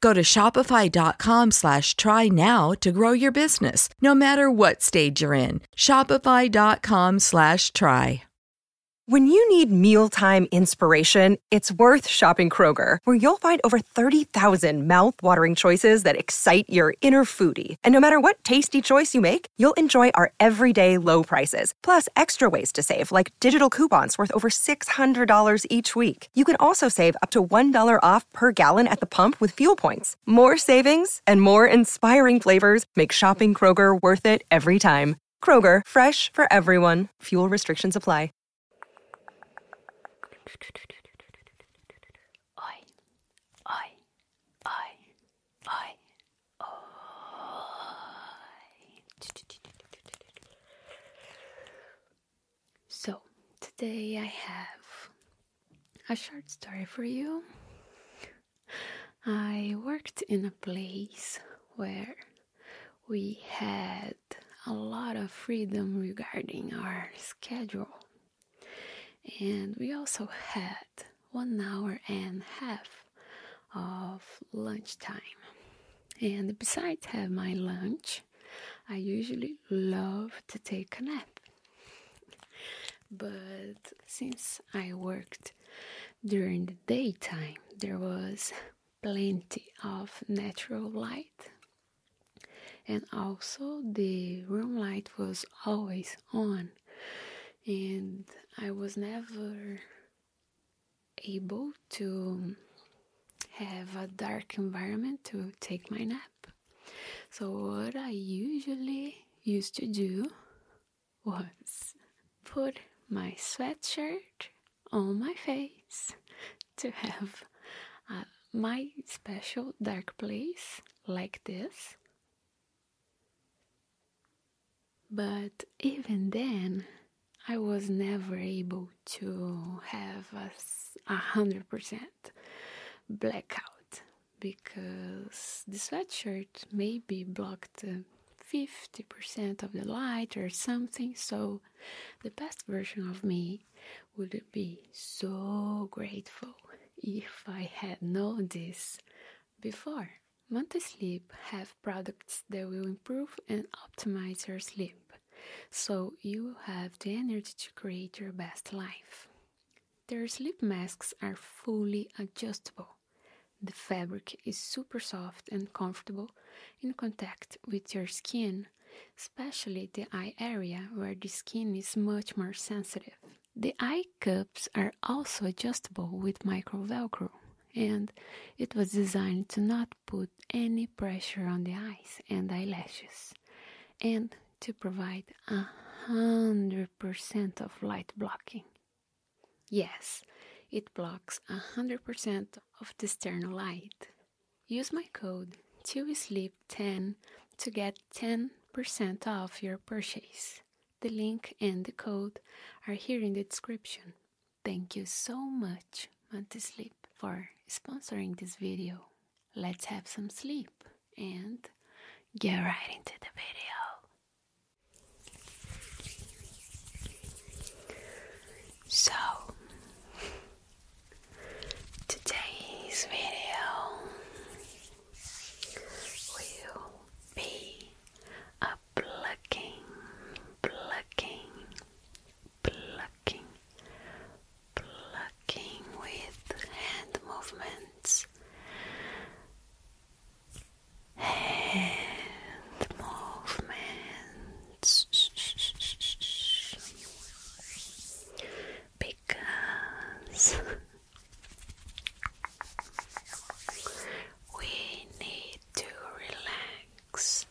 Go to shopify.com slash try now to grow your business, no matter what stage you're in. Shopify.com slash try. When you need mealtime inspiration, it's worth shopping Kroger, where you'll find over 30,000 mouthwatering choices that excite your inner foodie. And no matter what tasty choice you make, you'll enjoy our everyday low prices, plus extra ways to save, like digital coupons worth over $600 each week. You can also save up to $1 off per gallon at the pump with fuel points. More savings and more inspiring flavors make shopping Kroger worth it every time. Kroger, fresh for everyone. Fuel restrictions apply. So, today I have a short story for you. I worked in a place where we had a lot of freedom regarding our schedule, and we also had one hour and half of lunch time. And besides have my lunch, I usually love to take a nap. But since I worked during the daytime, there was plenty of natural light. And also, the room light was always on, and I was never able to have a dark environment to take my nap. So, what I usually used to do was put my sweatshirt on my face to have uh, my special dark place like this. But even then, I was never able to have a hundred percent blackout because the sweatshirt maybe blocked 50% uh, of the light or something, so the best version of me would be so grateful if I had known this before. Monte Sleep have products that will improve and optimize your sleep so you have the energy to create your best life. Their sleep masks are fully adjustable. The fabric is super soft and comfortable in contact with your skin, especially the eye area where the skin is much more sensitive. The eye cups are also adjustable with micro velcro, and it was designed to not put any pressure on the eyes and eyelashes and to provide a hundred percent of light blocking. Yes, it blocks a hundred percent of the external light. Use my code to sleep 10 to get 10% off your purchase. The link and the code are here in the description. Thank you so much, sleep, for sponsoring this video let's have some sleep and get right into the video. So, today's video will be a plucking, plucking, plucking, plucking with hand movements, hand movements. Because we need to relax,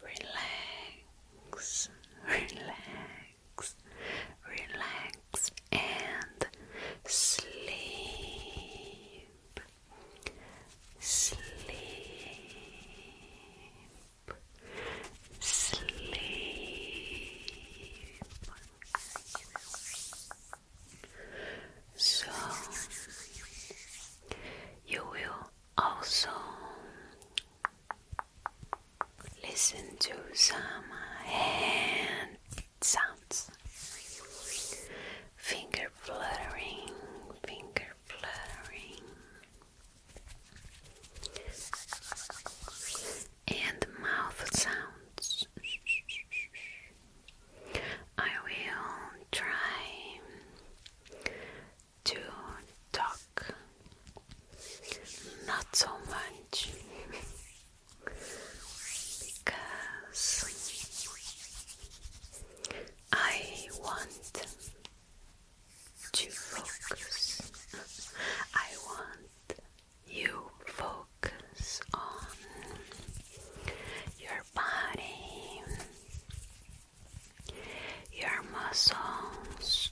relax, relax, relax, relax, and sleep, sleep, sleep. So you will also Listen to some hand sounds. Finger fluttering, finger fluttering. And mouth sounds. I will try to talk, not so much, because I want to focus, I want you focus on your body your muscles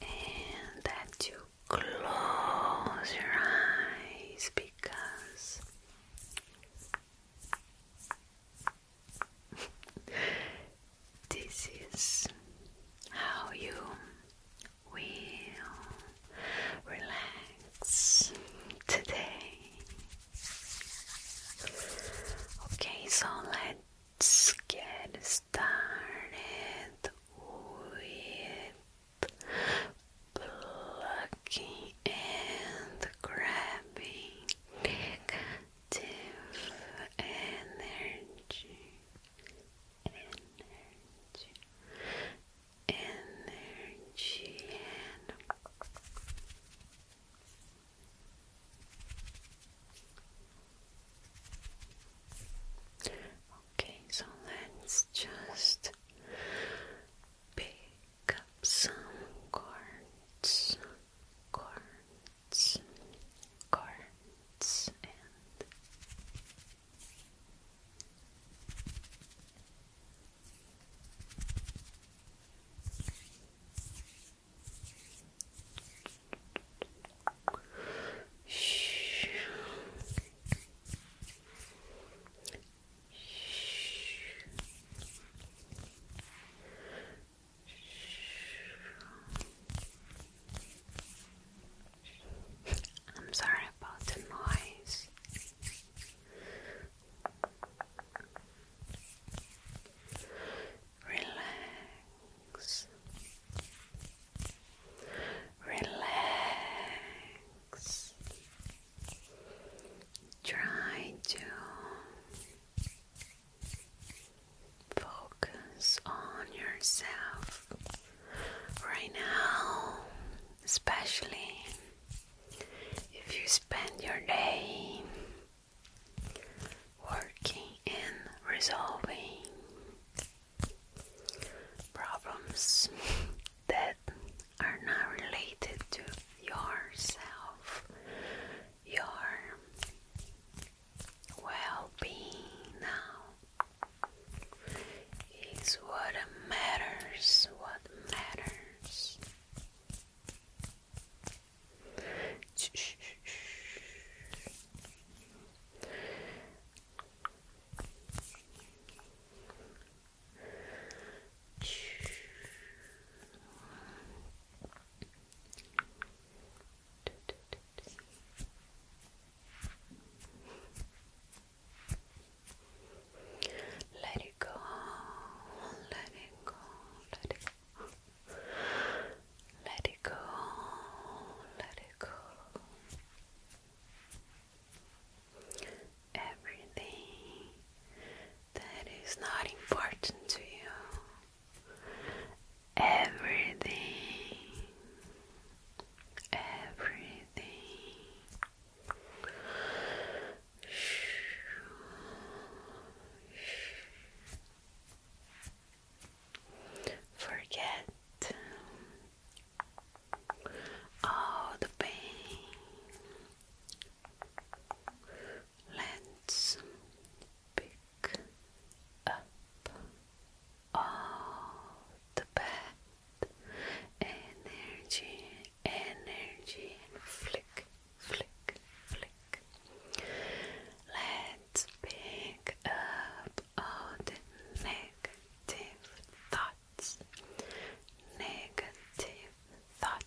and that you close your eyes because this is how you will relax today. Okay, so let's get started started with plucking and grabbing negative energy, energy, energy, and Okay, so let's just pick some cards, cards, cards, and Shh. Shh. I'm sorry about the noise. Relax. Relax. Try to focus on yourself right now, especially if you spend your day working and resolving problems that are not related to yourself, your well being now is what matters, what matters. Let it go, let it go, let it let it go, let it go. Everything that is not important to you, everything, everything. Shoo, shoo. Forget um, all the pain. Let's pick up all the bad energy, energy, flick, flick, flick, Let's pick up all the negative thoughts. Negative thoughts.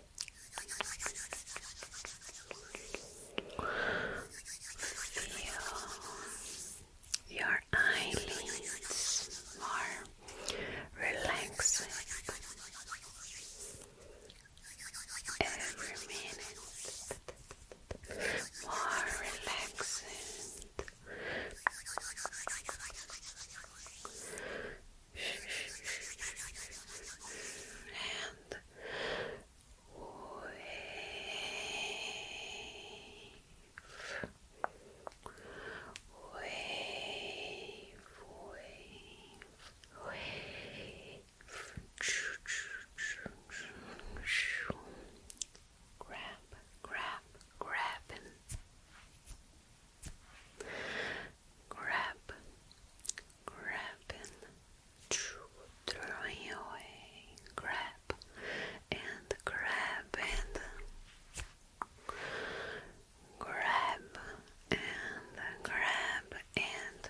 Feel your eyelids more relaxed every minute, more relaxed. And grab, grab, grabbing, grab, grabbing throwing away grab and grab and grab and grab and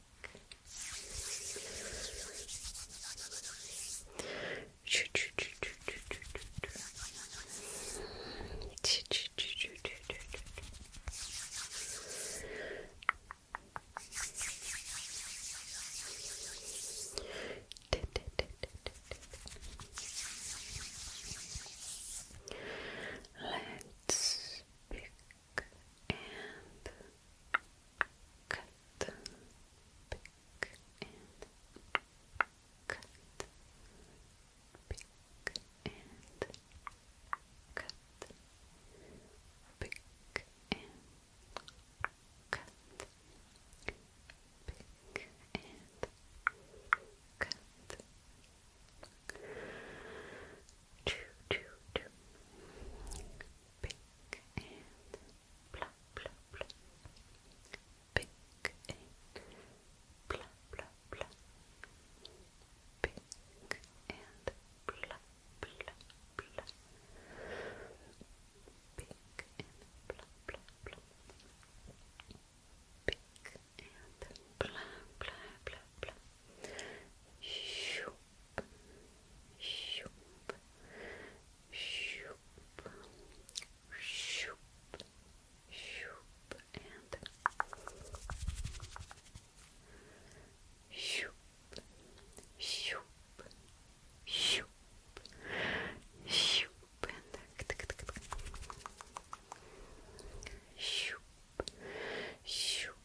Let's pick and cut, pick and cut, pick and cut, pick and cut, pick and cut. Choo, pick and plop, plop, plop. Pick and plop, plop, plop. Pick and plop, plop, plop. Pick and plop, plop, plop. Pick shoop, shoop, shoop, shoop, and shoop, shoop, shoop, shoop, and shoop, shoop, shoop,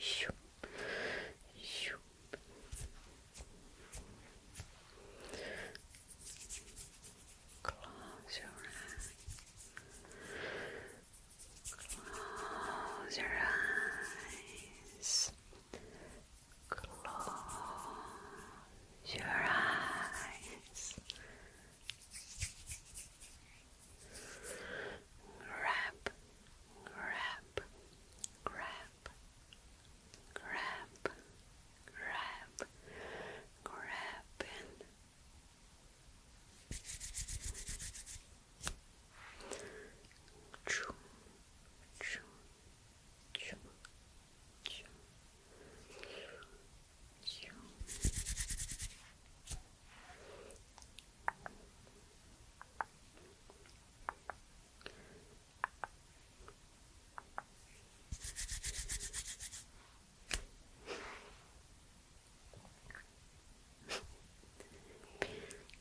Shoop. Shoop. Close your eyes. Close your eyes. Close your eyes. Grab, grab, grab, grab, grab, grabbing. Chum, chum, chum, chum, chum,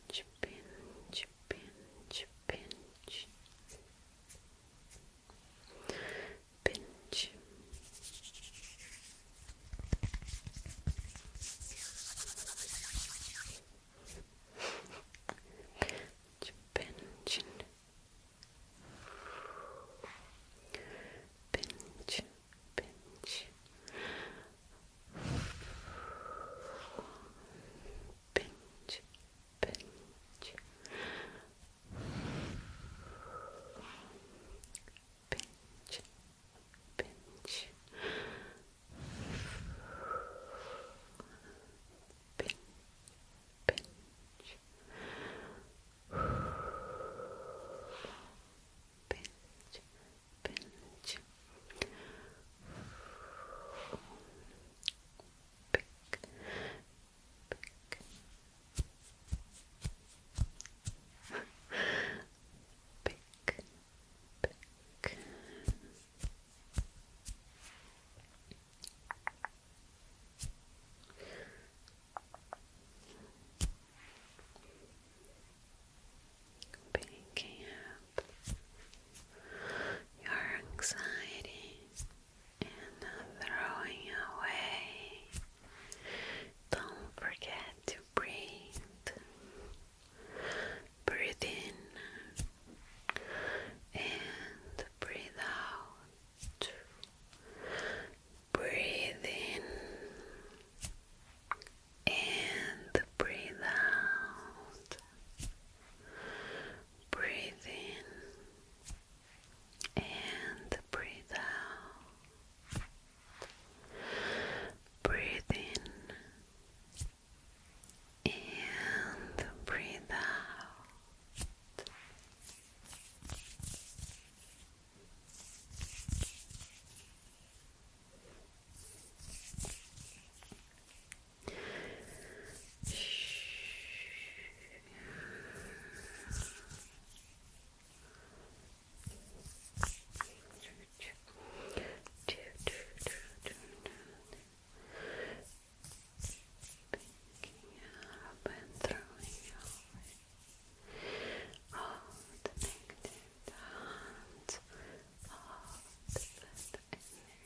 Pinch, pinch, pinch, pinch pinch. Pinch, pinch, pinch, pinch, pinch, pinch, pinch, pinch, pinch, pinch, pinch, pinch. Pick, pick, pick. Picking up your anxiety, and throwing away. Don't forget to breathe. Breathe in and breathe out. Breathe in and breathe out. Breathe in and breathe out. Breathe in and breathe out. Picking up and throwing away all the negative thoughts, all the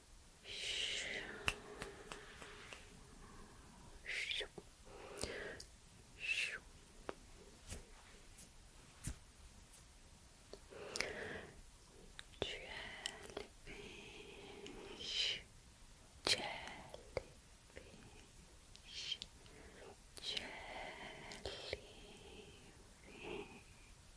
Jellyfish, jellyfish, jellyfish.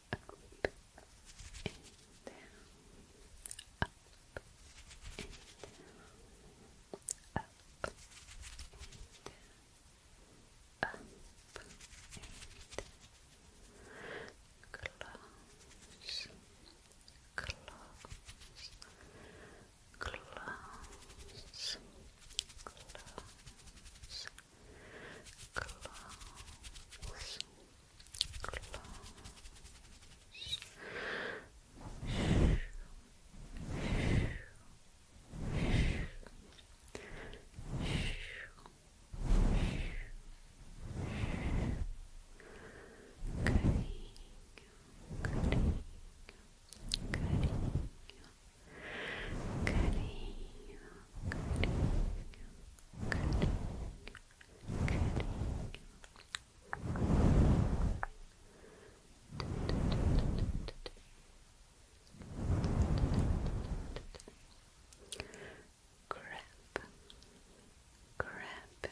up and down, up and down, up and down, up and down. Close, close, close, close. Close. Close. Cutting, cutting, cutting, cutting, cutting, cutting, cutting. grab, grab, grab,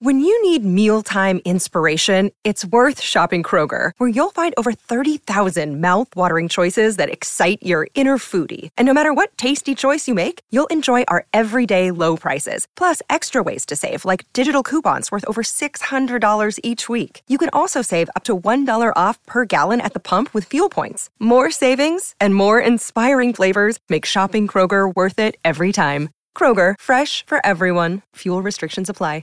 when you need mealtime inspiration, it's worth shopping Kroger, where you'll find over 30,000 mouthwatering choices that excite your inner foodie. And no matter what tasty choice you make, you'll enjoy our everyday low prices, plus extra ways to save, like digital coupons worth over $600 each week. You can also save up to $1 off per gallon at the pump with fuel points. More savings and more inspiring flavors make shopping Kroger worth it every time. Kroger, fresh for everyone. Fuel restrictions apply.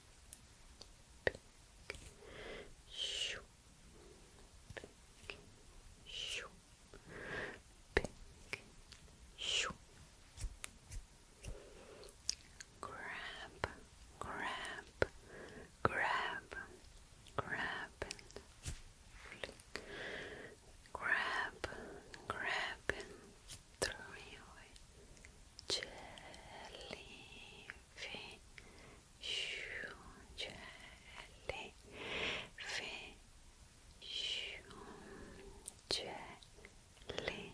Pick. Shoo. Shoo. Shoo. Grab, grab, grab, grab Grab, grab through jellyfish, jellyfish, jellyfish, jellyfish.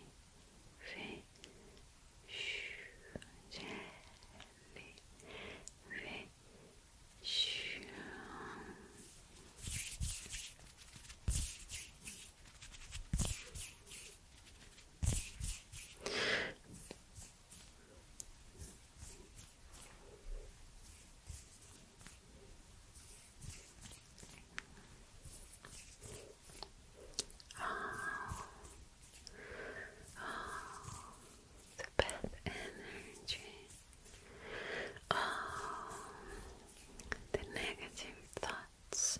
Oh, oh, the bad energy. Oh, the negative thoughts.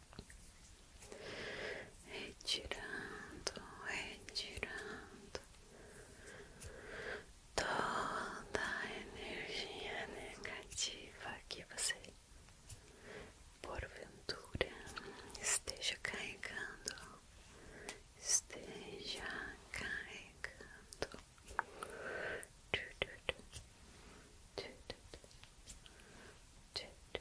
retirando, retirando toda energia negativa que você porventura esteja carregando, esteja carregando. Tu, tu, tu, tu, tu, tu, tu, tu,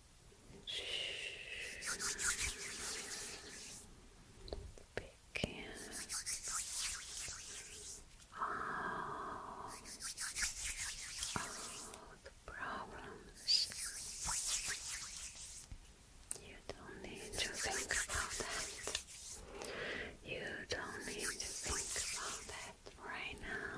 Begin. All, all the problems. You don't need to think about that. You don't need to think about that right now.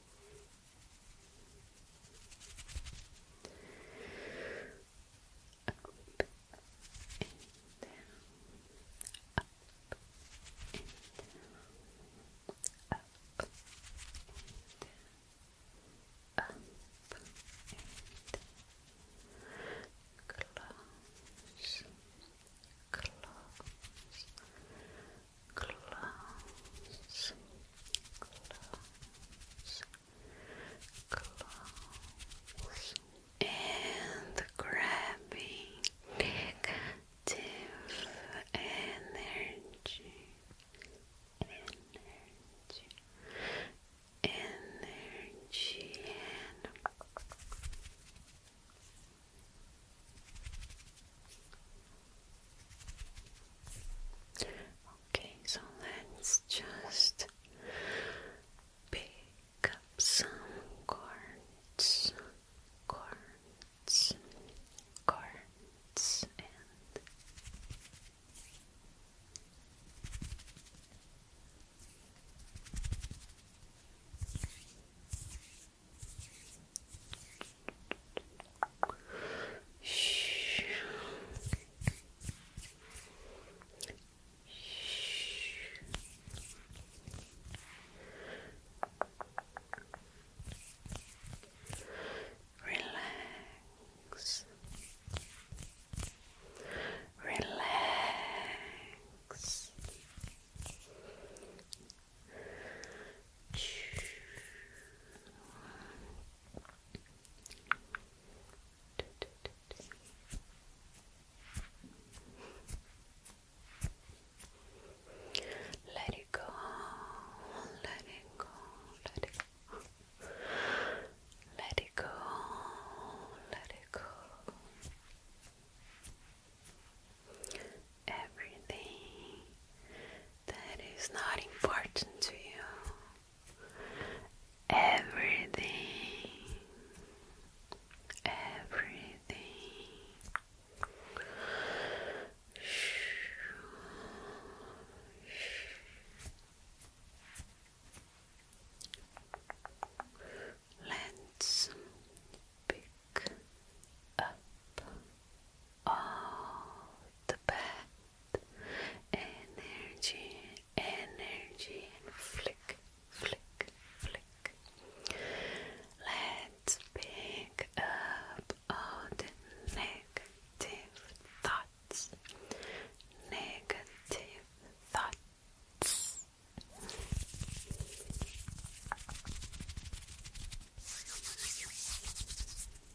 Up and down, up and down, up and down, up and down. Close, close, close, close, close, close, and grabbing negative energy, energy, energy, and Okay, so let's just pick up some cards, cards, cards, and Shh. Shh. Relax. Relax. Let it go, let it go, let it go. Let it go, let it go everything that is not important to you. Everything. Everything. Let's pick up all the bad energy, energy, flick, flick, flick. Let's pick up all the negative thoughts, negative thoughts.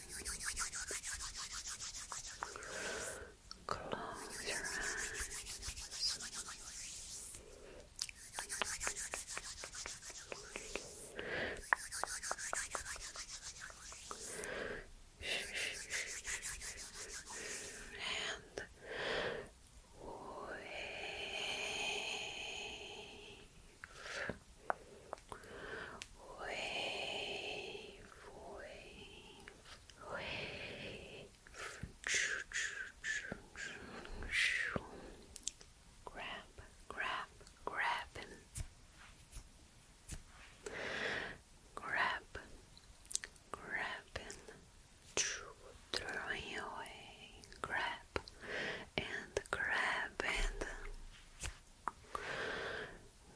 Close your eyes. And wake wave, wave, wave. Grab, grab, grabbing. Grab, grabbing. Throwing away. Grab and grab and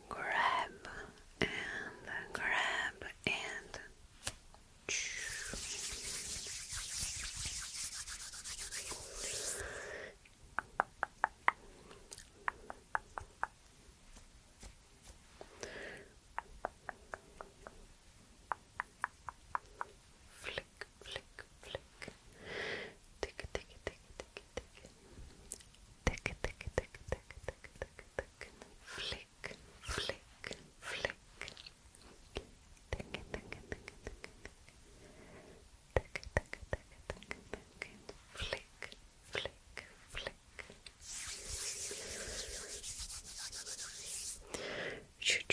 grab and grab and Flick, flick, flick. Tick, tick, tick, tick, tick, tick, tick, tick, tick, tick, tick, tick, flick, flick, flick, tick, tick, tick, tick, tick, tick, tick, tick, tick, flick, flick, flick. Ch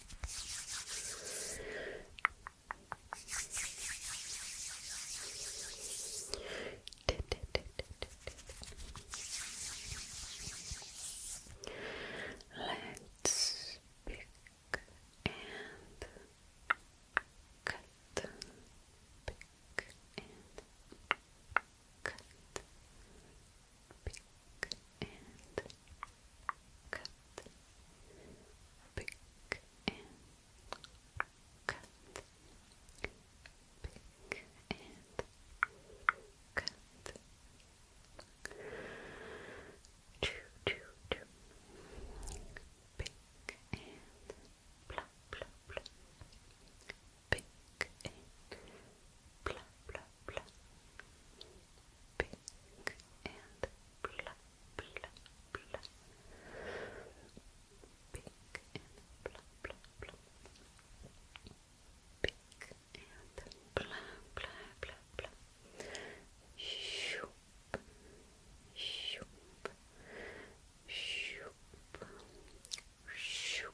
Let's pick and cut, pick and cut, pick and cut, pick and cut, pick and cut. Choo choo and blah blah blah. Pick and blah blah blah, pink and blah, blah, blah, pink and blah, blah, blah, pink and blah, blah, blah, blah, shoop, shoop, shoop, shoop. Shoop,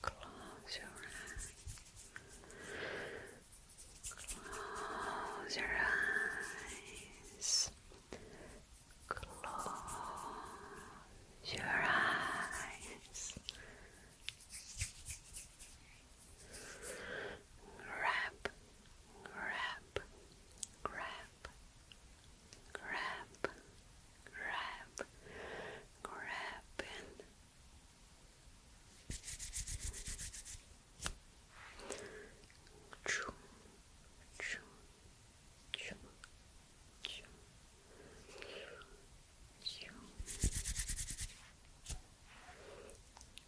Close your eyes. Close your eyes. Close your eyes. Wrap, wrap, grab, grab, grab, grabbing. Choo, choo, choo, choo, choo,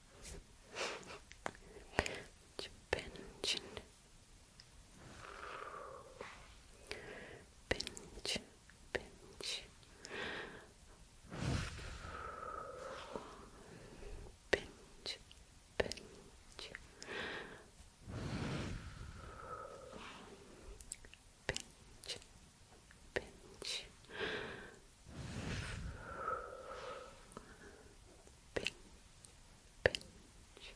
pinch pinch pinch pinch pinch pinch pinch pinch Pinch, pinch, pinch,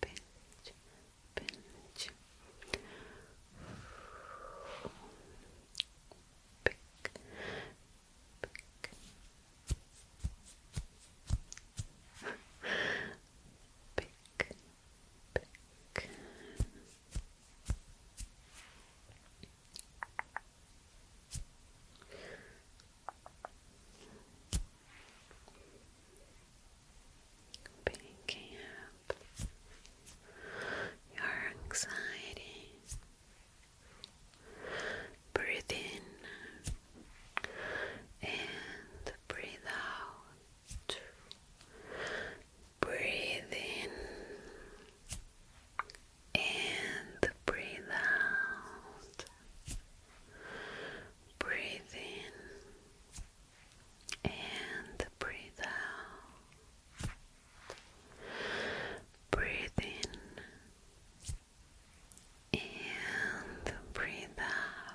pinch, pick, pick. Pick, pick. Picking up your anxiety. Breathe in and breathe out. Breathe in and breathe out. Breathe in and breathe out. Breathe in and breathe out.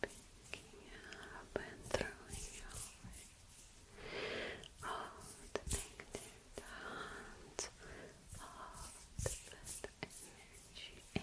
picking up and throwing away all the negative thoughts, all the energy,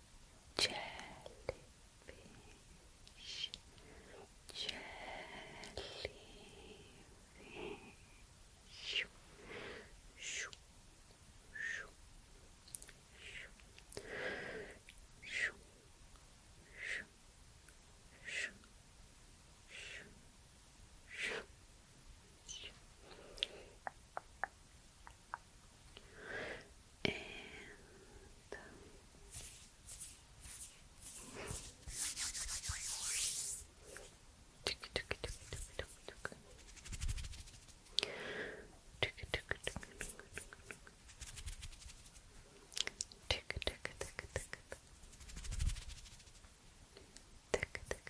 jellyfish, jellyfish, shoo, shoo, shoo, shoo, shoo, shoo, shoo, shoo, shoo and Tick tick tick tick tick tick tick tick tick tick tick tick tick tick tick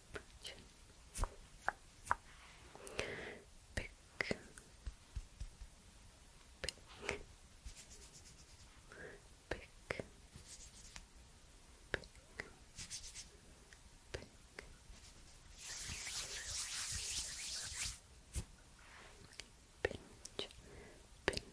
chin. Pick. Pick. Pick. Pick. Pick. Pinch, pinch.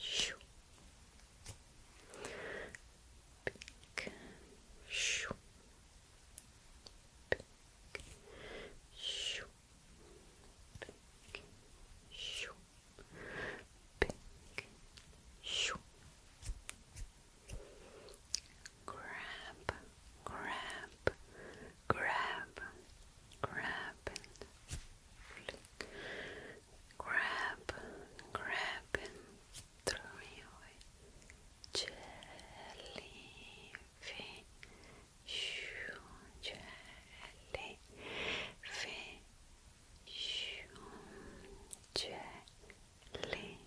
Shoo. Pink. Shoo. Shoo. Shoo. Shoo. Grab. Grab grab, grab, grab, grab, and throw away, jellyfish, jellyfish, jellyfish. Jellyfish,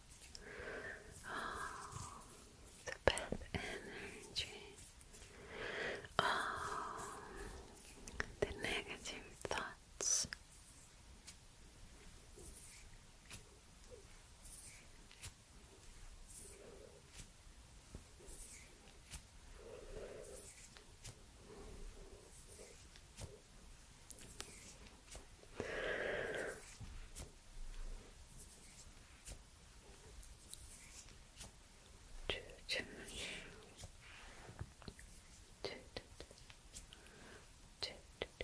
Oh, the bad energy. Oh, the negative thoughts. Too, too much. Too, too, too. Too, too, too. Too,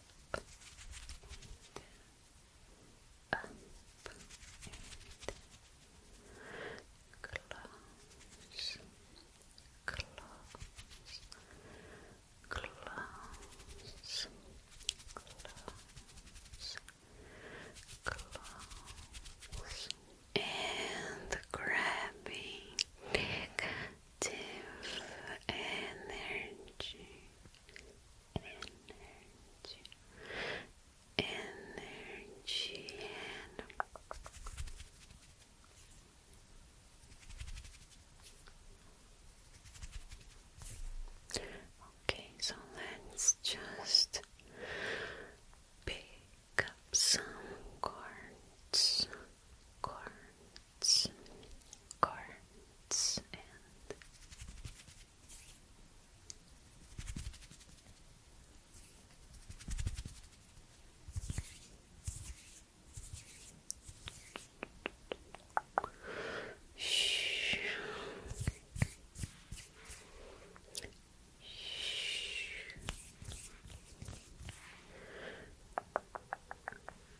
up up close, close, close, close, close, and grabbing, positive energy, energy, energy, Okay, so let's just pick up some cards, cards, cards, and Shh. Shh.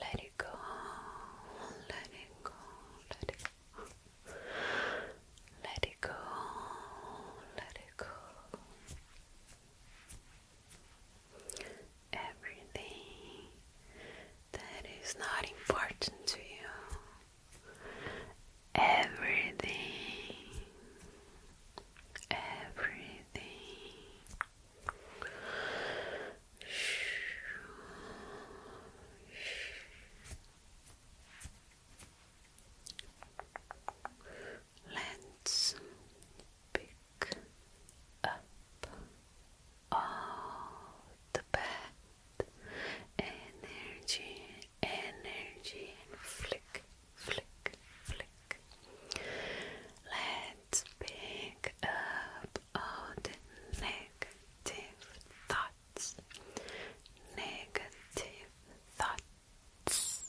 Let it go, let it go, let it go. Let it go, let it go. Everything that is not important to you. Everything. Everything Let's pick up all the bad energy, energy, and flick, flick, flick. Let's pick up all the negative thoughts, negative thoughts.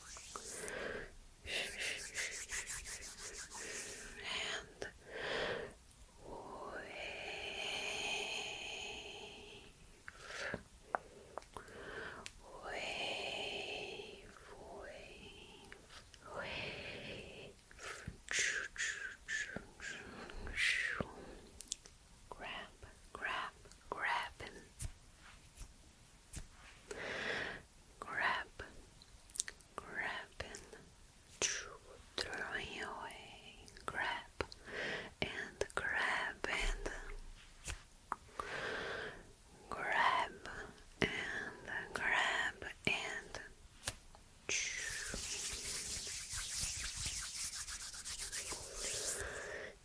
and wave. Wave, wave, wave. Grab, grab, grab him. Grab, grab and throwing away. Grab and grab and grab and grab and.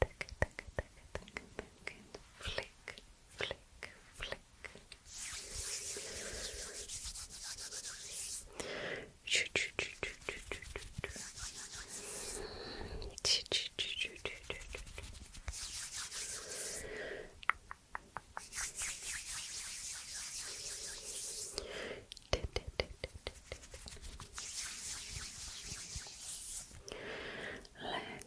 Tick, tick, tick, tick, tick, and flick, flick, flick. Let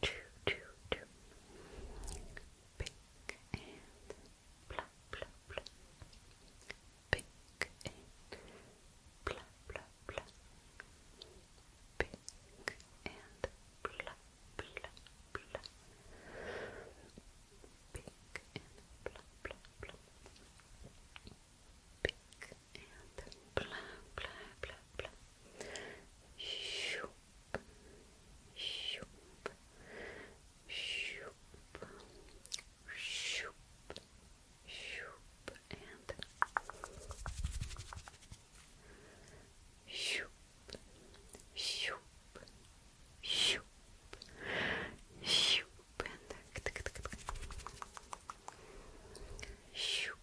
Choo choo Pink and blah blah blah. Pink and blah blah blah. Pink and blah blah blah. Pink and blah blah blah pink and blah blah blah blah. Shoop, shoop, shoop, shoop, shoop, and shoop, shoop, shoop, shoop, and shoop.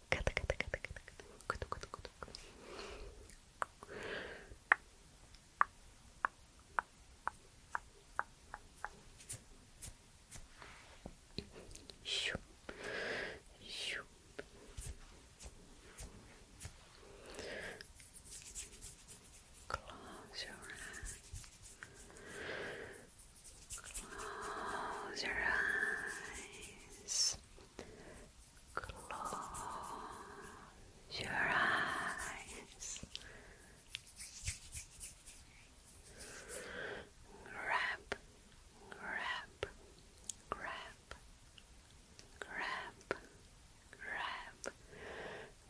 Kata kata kata kata kata. Kutu kutu kutu. Shoo. Shoo. Close your eyes. Close your eyes. Close your eyes. Grab, grab, grab, grab,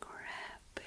grab, grab, and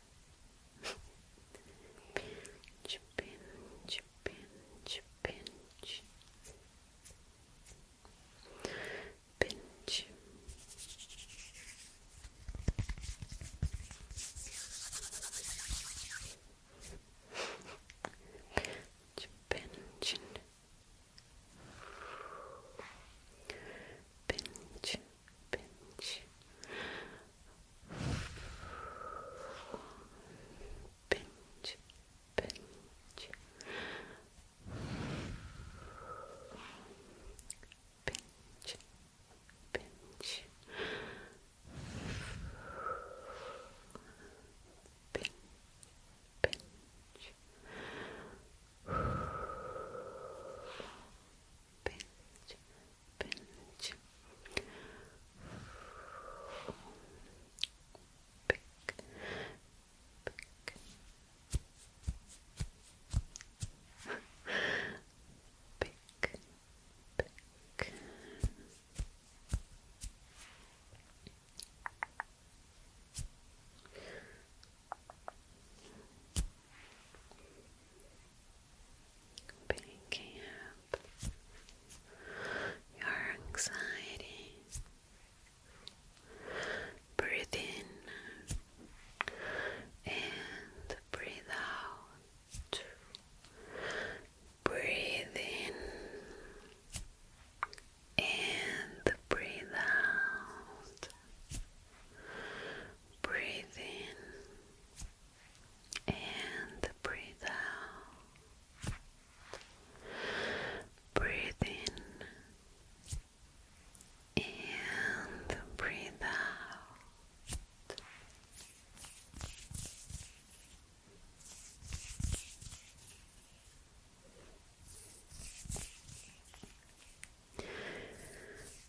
pinch, pinch, pinch, pinch. Pinch. pinch, pinch, pinch, pinch, pinch, pinch, pinch, pinch. Pinch, pinch, pinch, pinch pick, pick. Pick, picking up your anxiety. Breathe in and breathe out. Breathe in and breathe out. Breathe in and breathe out. Breathe in and breathe out.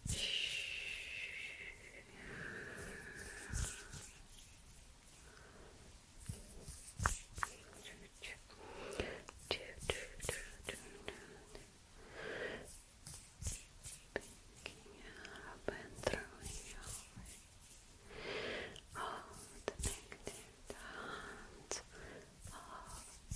Shh. Picking up and throwing away all the negative all the bad energy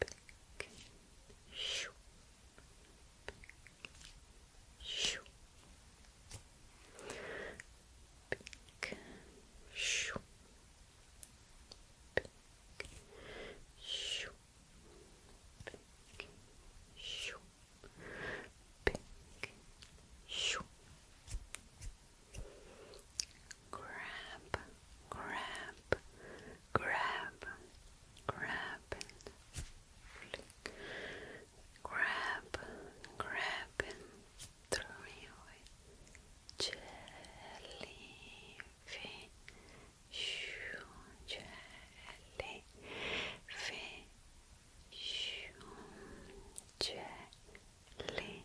Pick. Shoo. Pick. Shoo. Pick. Shoo. Pick. Shoo. Pick. Shoo. Pick. Shoo. Pick. Shoo. Grab, grab, grab, grab Grab, grab throw me away. Jellyfish, jellyfish, jellyfish.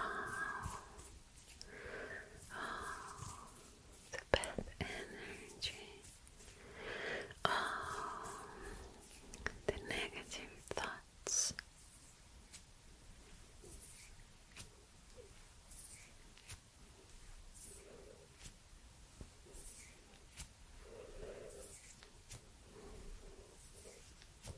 Oh, oh, the bad energy. Oh, the negative thoughts.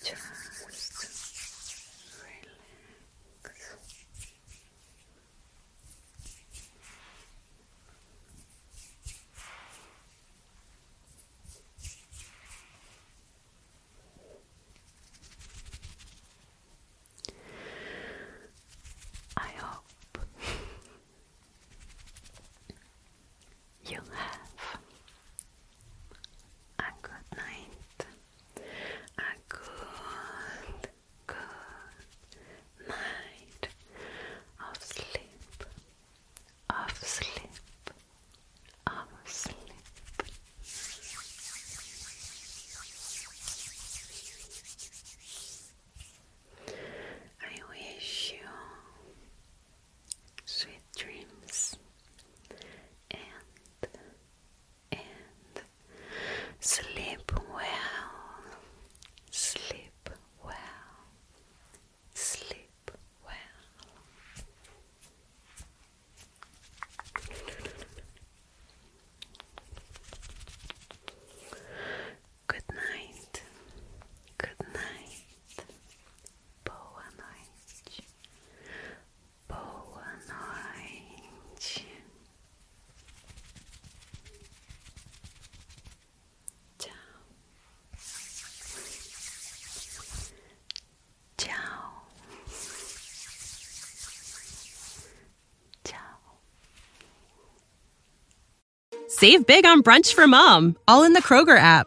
just relax. I hope you have a good night, a good, good night of sleep, of sleep, of sleep. I wish you sweet dreams and and sleep well sleep well sleep well Good night. Good night. Boa noite. Boa noite. Tchau. Tchau. Tchau. Save big on brunch for mom, all in the Kroger app.